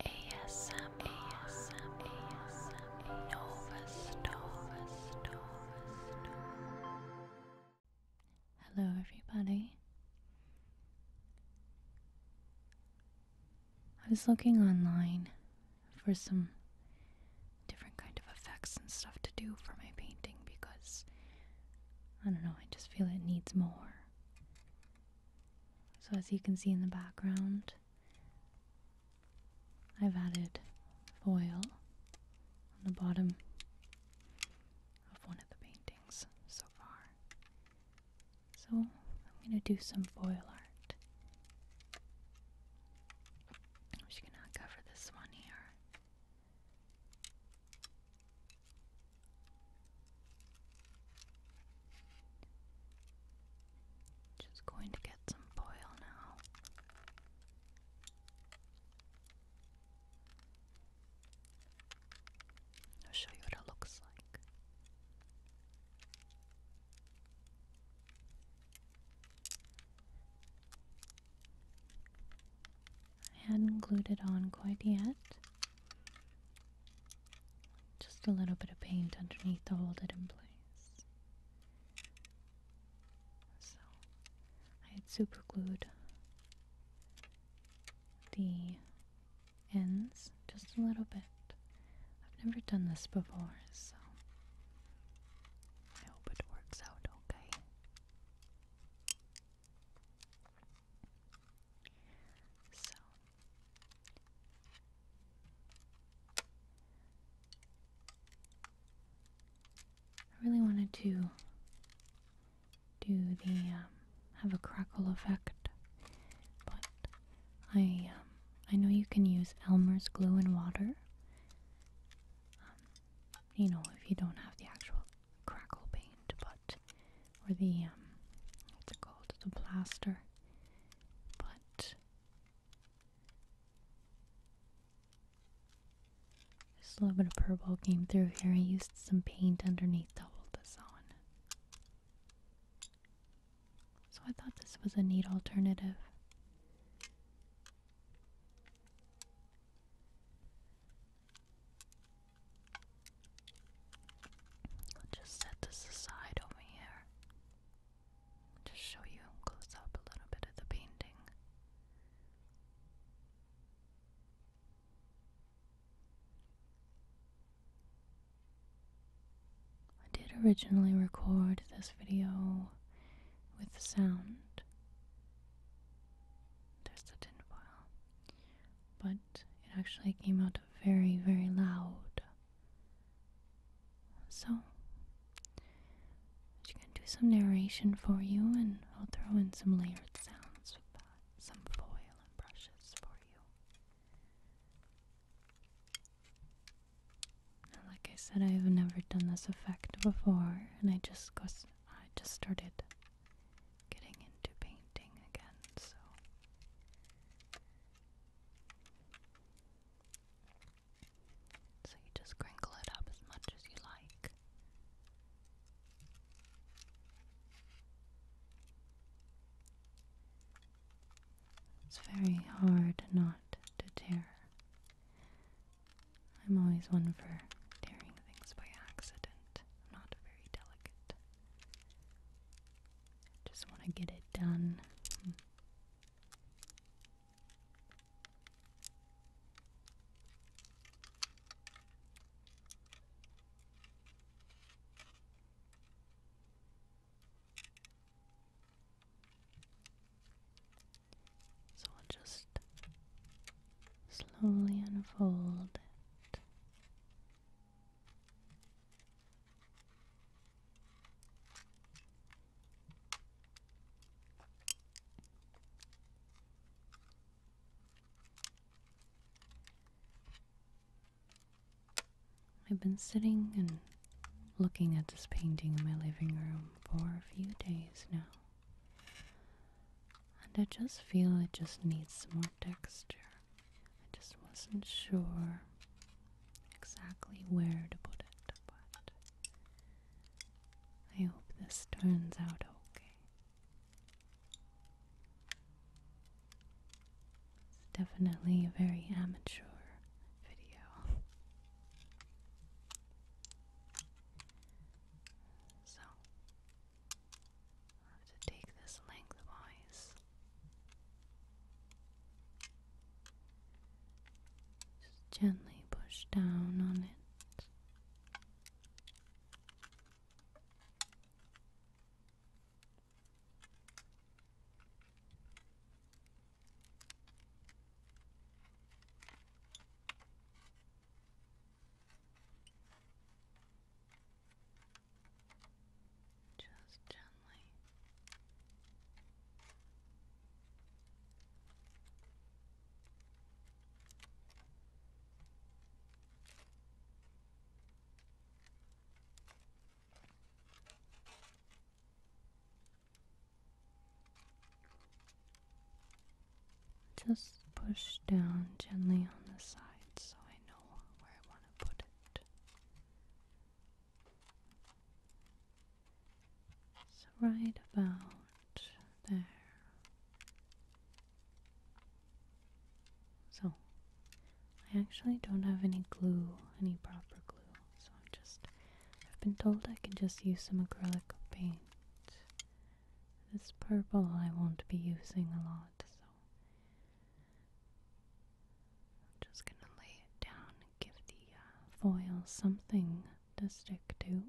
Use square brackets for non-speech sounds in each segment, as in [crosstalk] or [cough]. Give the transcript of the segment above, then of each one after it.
ASM, ASM, ASM, Nova Star, Star, Hello, everybody. I was looking online for some different kind of effects and stuff to do for my painting because I don't know, I just feel it needs more. So, as you can see in the background, I've added foil on the bottom of one of the paintings so far. So, I'm going to do some foil art. I'm just going to cover this one here. Just going to get some foil now. I'll show you what it looks like. I hadn't glued it on quite yet. Just a little bit of paint underneath to hold it in place. So I had super glued the ends just a little bit. I've never done this before, so I hope it works out okay. So I really wanted to do the um, have a crackle effect, but I um, I know you can use Elmer's glue and water. Um, you know, if you don't have the actual crackle paint, but or the um, what's called, the plaster but just a little bit of purple came through here. I used some paint underneath to hold this on. So I thought this was a neat alternative. I'll just set this aside over here. Just show you close up a little bit of the painting. I did originally record this video with sound. There's the tin foil. But it actually came out very, very loud. So, I'm gonna do some narration for you, and I'll throw in some layered sounds with some foil and brushes for you. Now, like I said, I've never done this effect before, and I just got, I just started getting into painting again, so so you just crinkle it up as much as you like. It's very hard not to tear. I'm always one for tearing things by accident. I'm not very delicate. Just want to get it done. So I'll just slowly unfold it I've been sitting and looking at this painting in my living room for a few days now. And I just feel it just needs some more texture. I just wasn't sure exactly where to put it, but I hope this turns out okay. It's definitely a very amateur video. So, i have to take this lengthwise just gently push down on it just gently. Just push down gently on the side so I know where I want to put it. It's right about there. So, I actually don't have any glue, any proper glue. So, I'm just, I've been told I can just use some acrylic paint. This purple I won't be using a lot, so I'm just gonna lay it down and give the uh, foil something to stick to.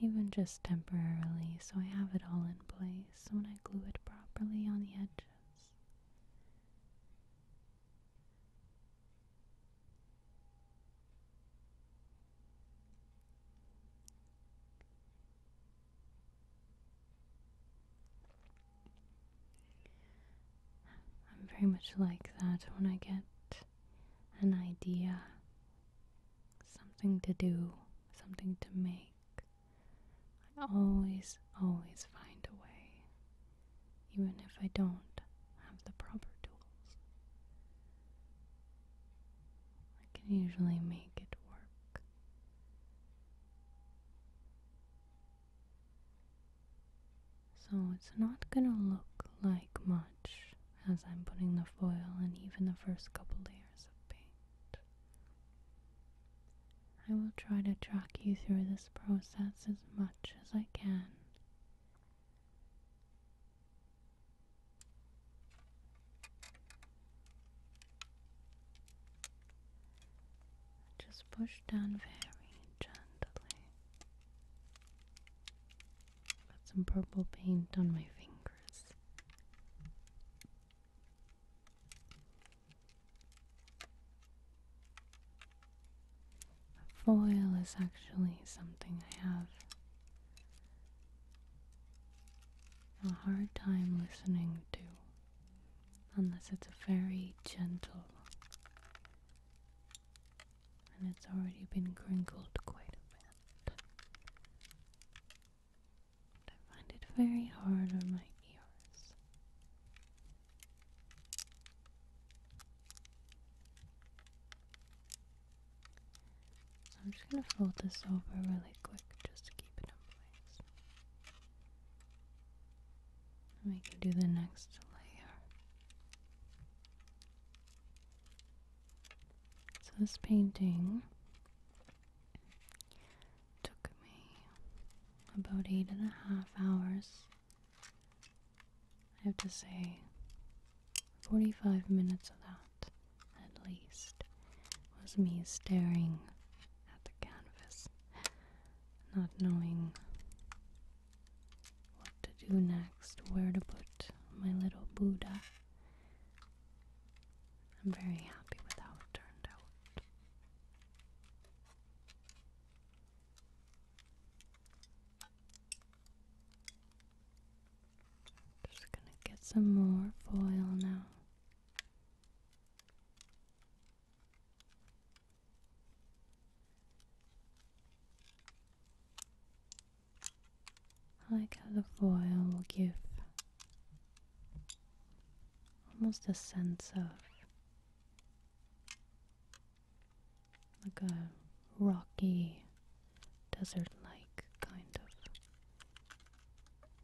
Even just temporarily, so I have it all in place when I glue it properly on the edges. I'm very much like that when I get an idea, something to do, something to make. I always, always find a way, even if I don't have the proper tools. I can usually make it work. So it's not gonna look like much as I'm putting the foil and even the first couple layers of paint. I will try to track you through this process as much as I can. I Just push down very gently. Got some purple paint on my fingers. A foil is actually something I have a hard time listening to unless it's a very gentle and it's already been crinkled quite a bit. I find it very hard on my ears. So I'm just going to fold this over really quick just to keep it in place we can do the next layer. So this painting took me about eight and a half hours. I have to say 45 minutes of that at least was me staring at the canvas [laughs] not knowing what to do next, where to put my little Buddha. I'm very happy with how it turned out. Just gonna get some more foil now. I like how the foil will give almost a sense of like a rocky, desert like kind of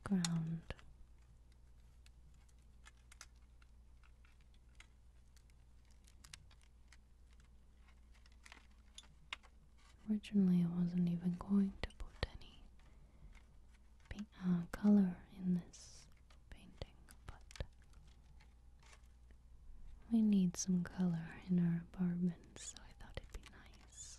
ground. Originally, I wasn't even going to put any uh, color in this painting, but we need some color in our apartment, so I thought it'd be nice.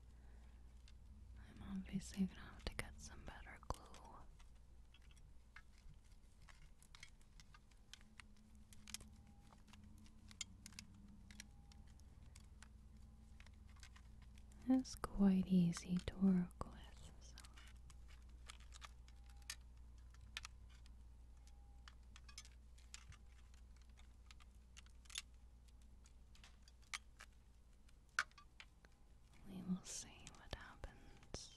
I'm obviously gonna have to get some better glue. It's quite easy to work with. We will see what happens.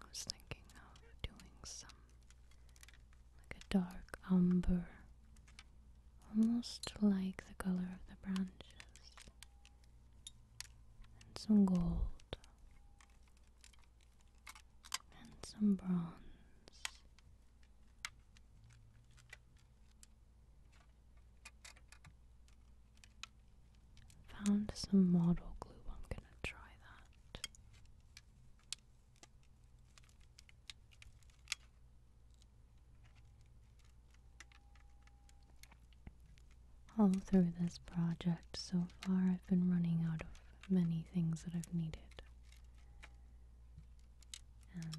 I was thinking of doing some like a dark umber, almost like the color of the branches, and some gold, and some bronze. Found some model glue. I'm gonna try that. All through this project so far, I've been running out of many things that I've needed. And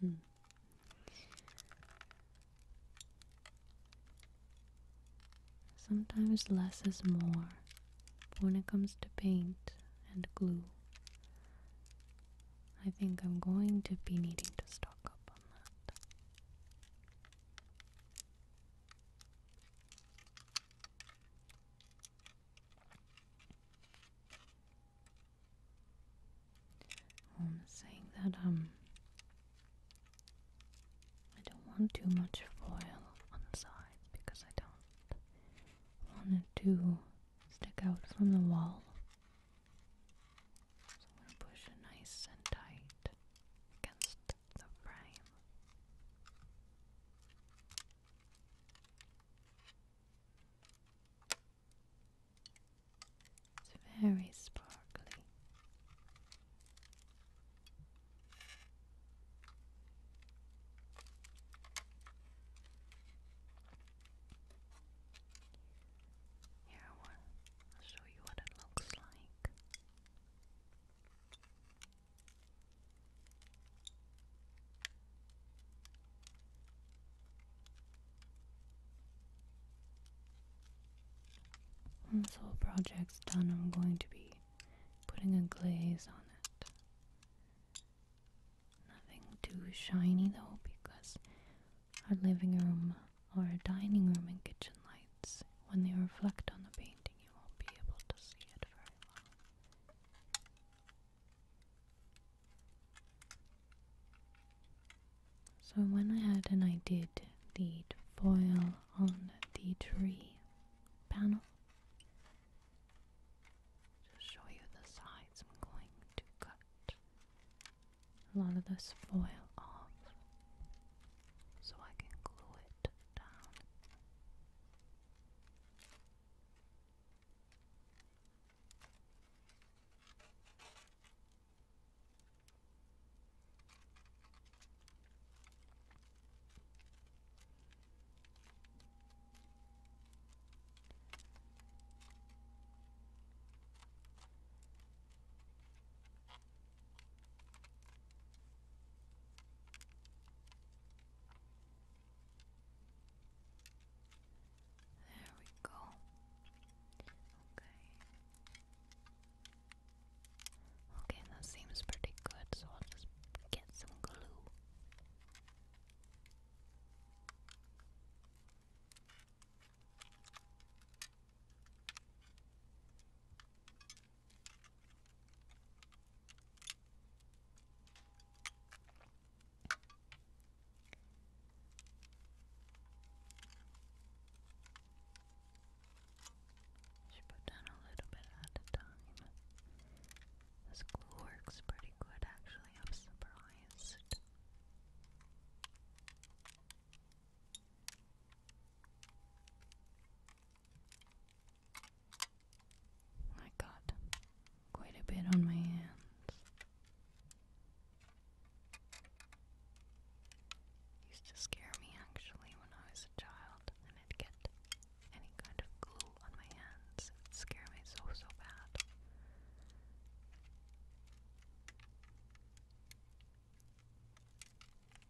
Hmm. Sometimes less is more when it comes to paint and glue. I think I'm going to be needing to stock up on that. I'm saying that um I don't want too much foil on the sides because I don't want it to stick out from the wall. So I'm gonna push it nice and tight against the frame. It's very sparkly. Here I will show you what it looks like. Once this whole project's done, I'm going to be putting a glaze on it. Nothing too shiny though, because our living room our dining room and kitchen lights when they reflect on the painting, you won't be able to see it very well. So, when I had and I did the foil on the tree panel, just show you the sides, I'm going to cut a lot of this foil off so I can glue it down. There we go. Okay. Okay, that seems pretty good, so I'll just get some glue. Should put down a little bit at a time. This glue works pretty good actually, I'm surprised. I got quite a bit on my hands. Used to scare me actually when I was a child, and I'd get any kind of glue on my hands. It would scare me so, so bad.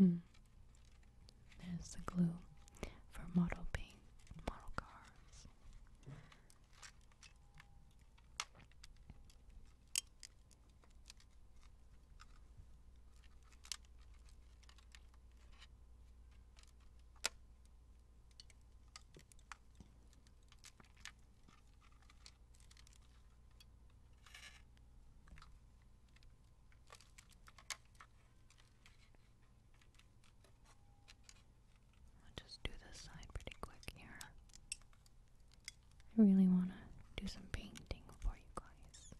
Hmm. There's the glue for model paint mini model cars. I'll just do this side pretty quick here. I really want to do some painting for you guys.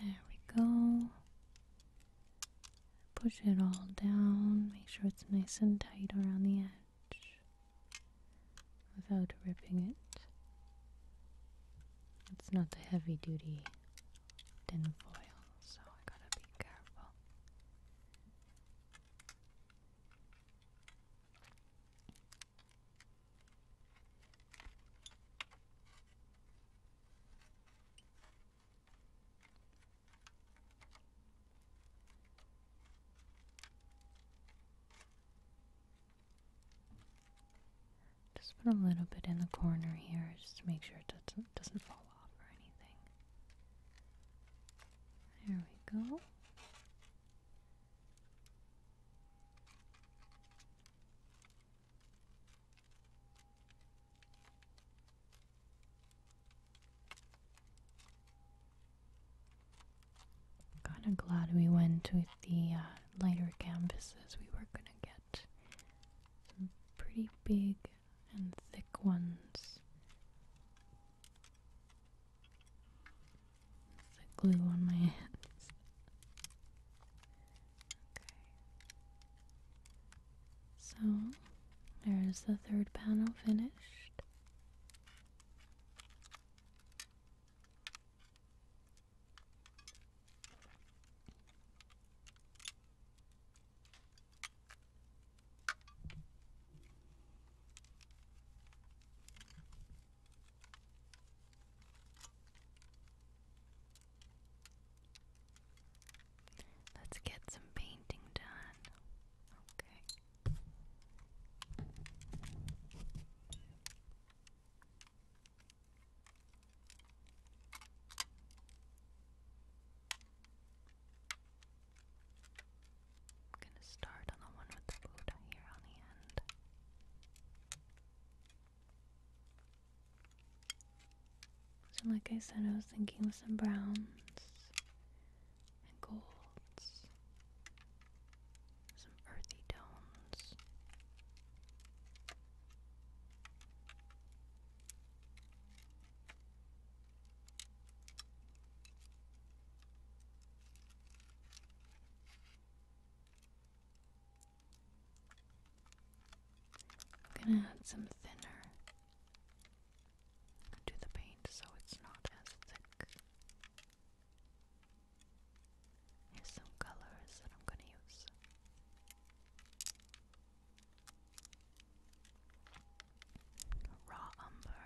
There we go. Push it all down, make sure it's nice and tight around the edge without ripping it. It's not the heavy duty tinfoil, so I gotta be careful. Just put a little bit in the corner here just to make sure it doesn't, doesn't fall off or anything. There we go. Kind of glad we went with the uh, lighter canvases. We were gonna get some pretty big and thick ones. glue on my [laughs] hands. Okay. So there's the third panel finished. Let's get some painting done. Okay. I'm gonna start on the one with the Buddha here on the end. So, like I said, I was thinking with some browns and golds, some earthy tones. I'm going to add some thinner to the paint so it's not as thick. Here's some colors that I'm gonna use. Raw umber.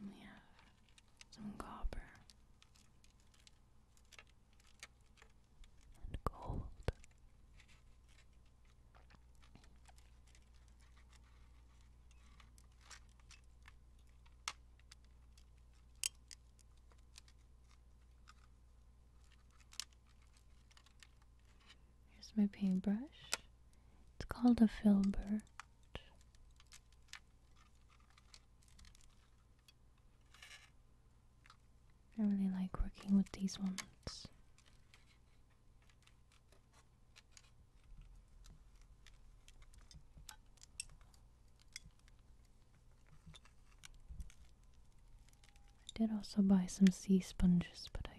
We mm, have some copper and gold. Here's my paintbrush. It's called a filbert. I really like working with these ones. I did also buy some sea sponges, but I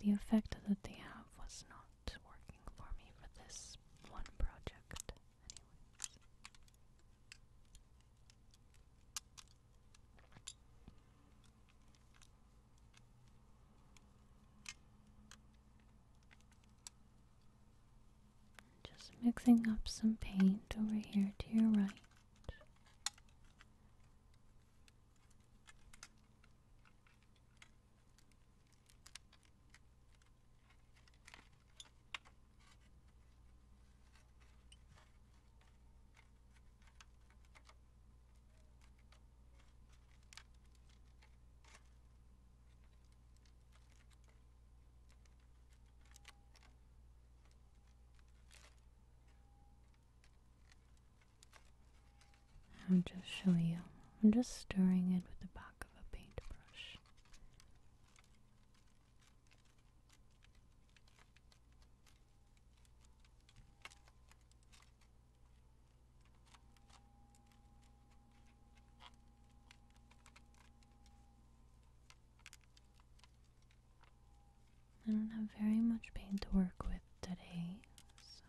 the effect that they have was not working for me for this one project. Just mixing up some paint over here to your right. I'll just show you. I'm just stirring it with the back of a paintbrush. I don't have very much paint to work with today, so.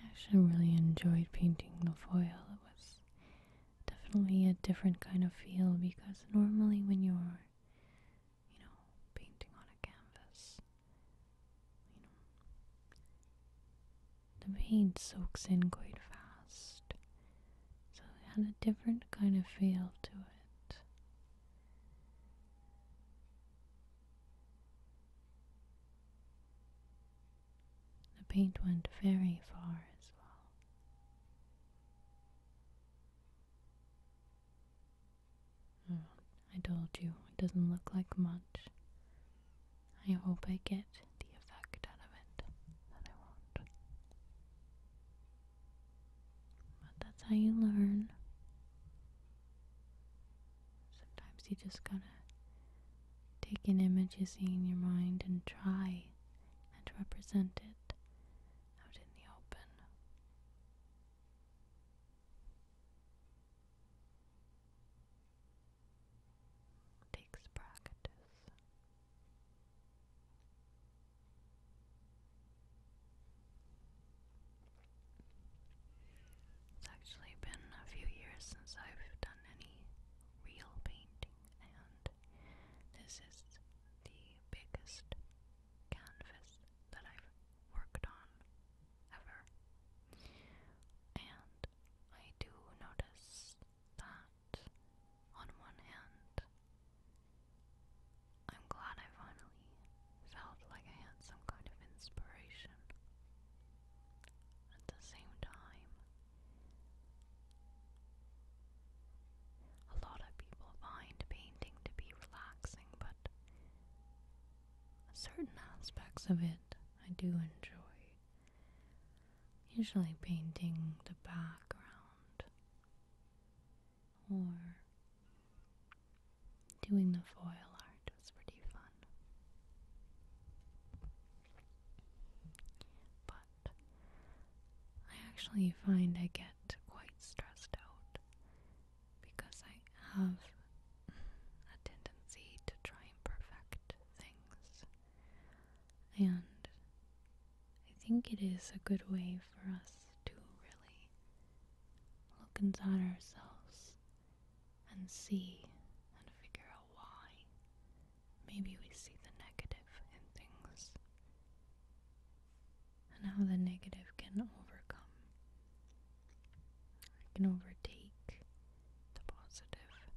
I actually really enjoyed painting the foil. It was definitely a different kind of feel because normally when you're you know painting on a canvas the paint soaks in quite fast so it had a different kind of feel to it the paint went very far as well. Hmm, I told you, it doesn't look like much. I hope I get the effect out of it that I want. But that's how you learn. Sometimes you just gotta Take an image you see in your mind and try and represent it out in the open. It practice. It's actually been a few years since I've done any real painting and this is the biggest canvas that I've worked on ever. And I do notice that on one hand, I'm glad I finally felt like I had some kind of inspiration. At the same time, a lot of people find painting to be relaxing, but certain aspects of it I do enjoy. Usually, painting the background or doing the foil art is pretty fun. But I actually find I get quite stressed out because I have a tendency to try and perfect things. And I think it is a good way for us to really look inside ourselves and see and figure out why maybe we see the negative in things and how the negative can overcome, it can overtake the positive.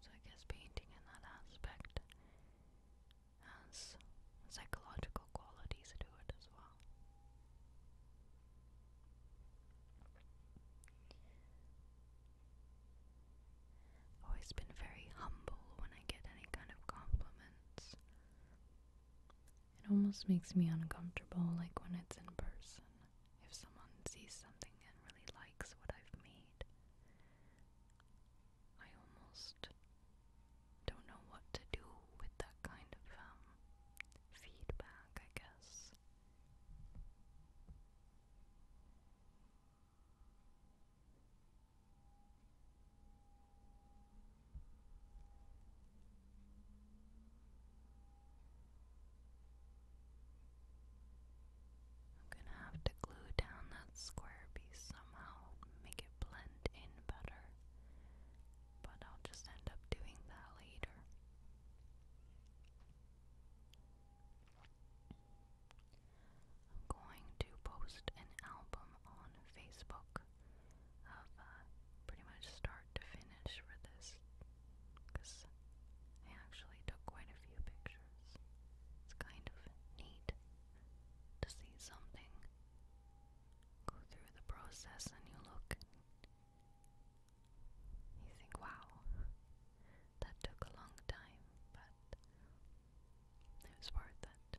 So I guess painting in that aspect has psychological qualities to it as well always been very humble when I get any kind of compliments. It almost makes me uncomfortable, like when it's in person. If someone sees something and really likes what I've made, I almost don't know what to do with that kind of um, feedback, I guess. I'm gonna have to glue down that square piece somehow, make it blend in better but I'll just end up doing that later. I'm going to post an album on Facebook of uh, pretty much start to finish for this because I actually took quite a few pictures. It's kind of neat to see something go through the process and you look you think, wow, that took a long time, but it was worth it.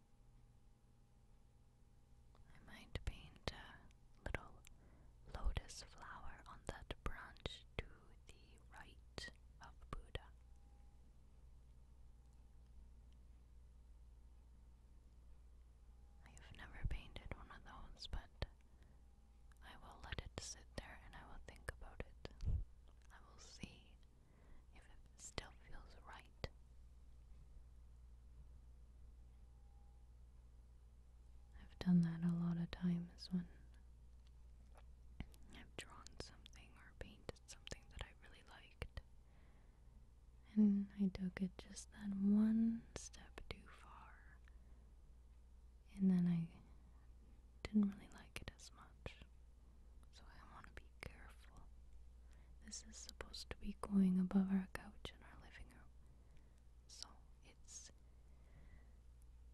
I might paint a little lotus flower on that branch to the right of Buddha. I have never painted one of those, but I will let it sit there and I will think about it. I will see if it still feels right. I've done that a lot of times when I've drawn something or painted something that I really liked. And I took it just that one step too far. And then I didn't really like it as much so I want to be careful. This is supposed to be going above our couch in our living room, so it's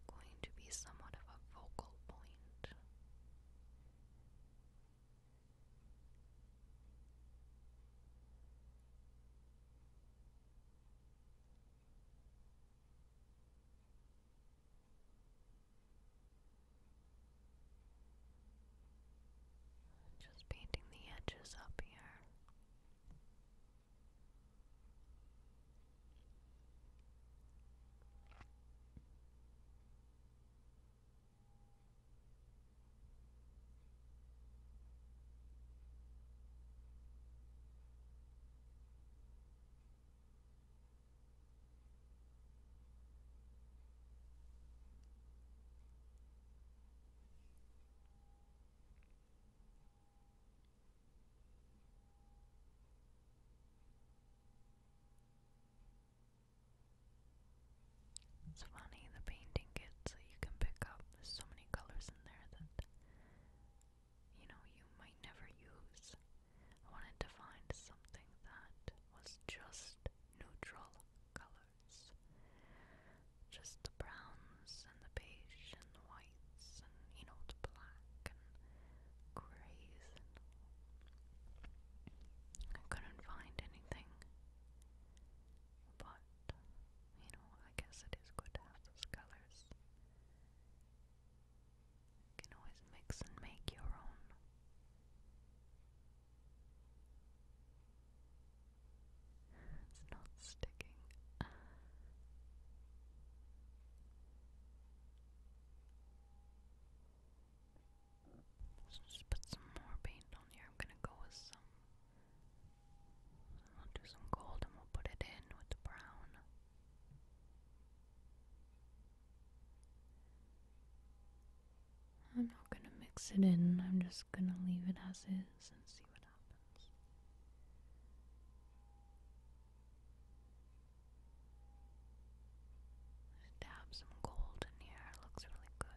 going to be somewhat of a focal point. Just painting the edges up here. It's funny the painting kits that uh, you can pick up. There's so many colors in there that you know you might never use. I wanted to find something that was just neutral colors. Just the browns and the beige and the whites and, you know, the black and grays and I couldn't find anything. But, you know, I guess it is good to have those colors. You can always mix and make your own. It's not sticking. let just put some more paint on here. I'm gonna go with some. I'll do some gold and we'll put it in with the brown. I'm not going to mix it in, I'm just going to leave it as is and see what happens. dab some gold in here, looks really good.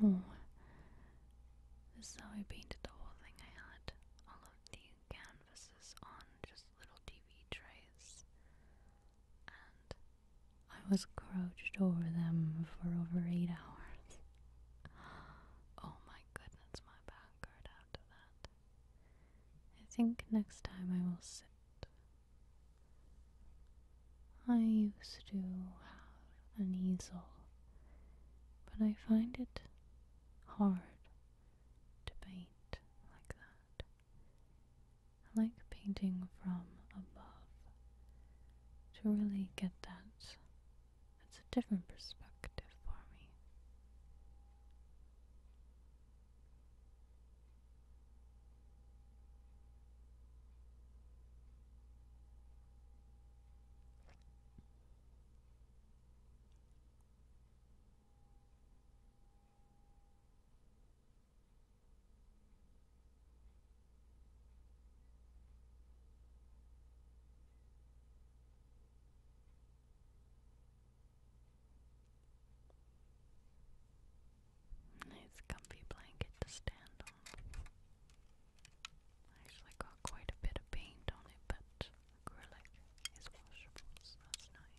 Oh, I painted the whole thing. I had all of the canvases on just little TV trays, and I was crouched over them for over eight hours. [gasps] Oh my goodness, my back hurt after that. I think next time I will sit. I used to have an easel, but I find it hard to paint like that. I like painting from above to really get that that's a different perspective for me. Nice comfy blanket to stand on. actually got quite a bit of paint on it, but acrylic is washable, so that's nice.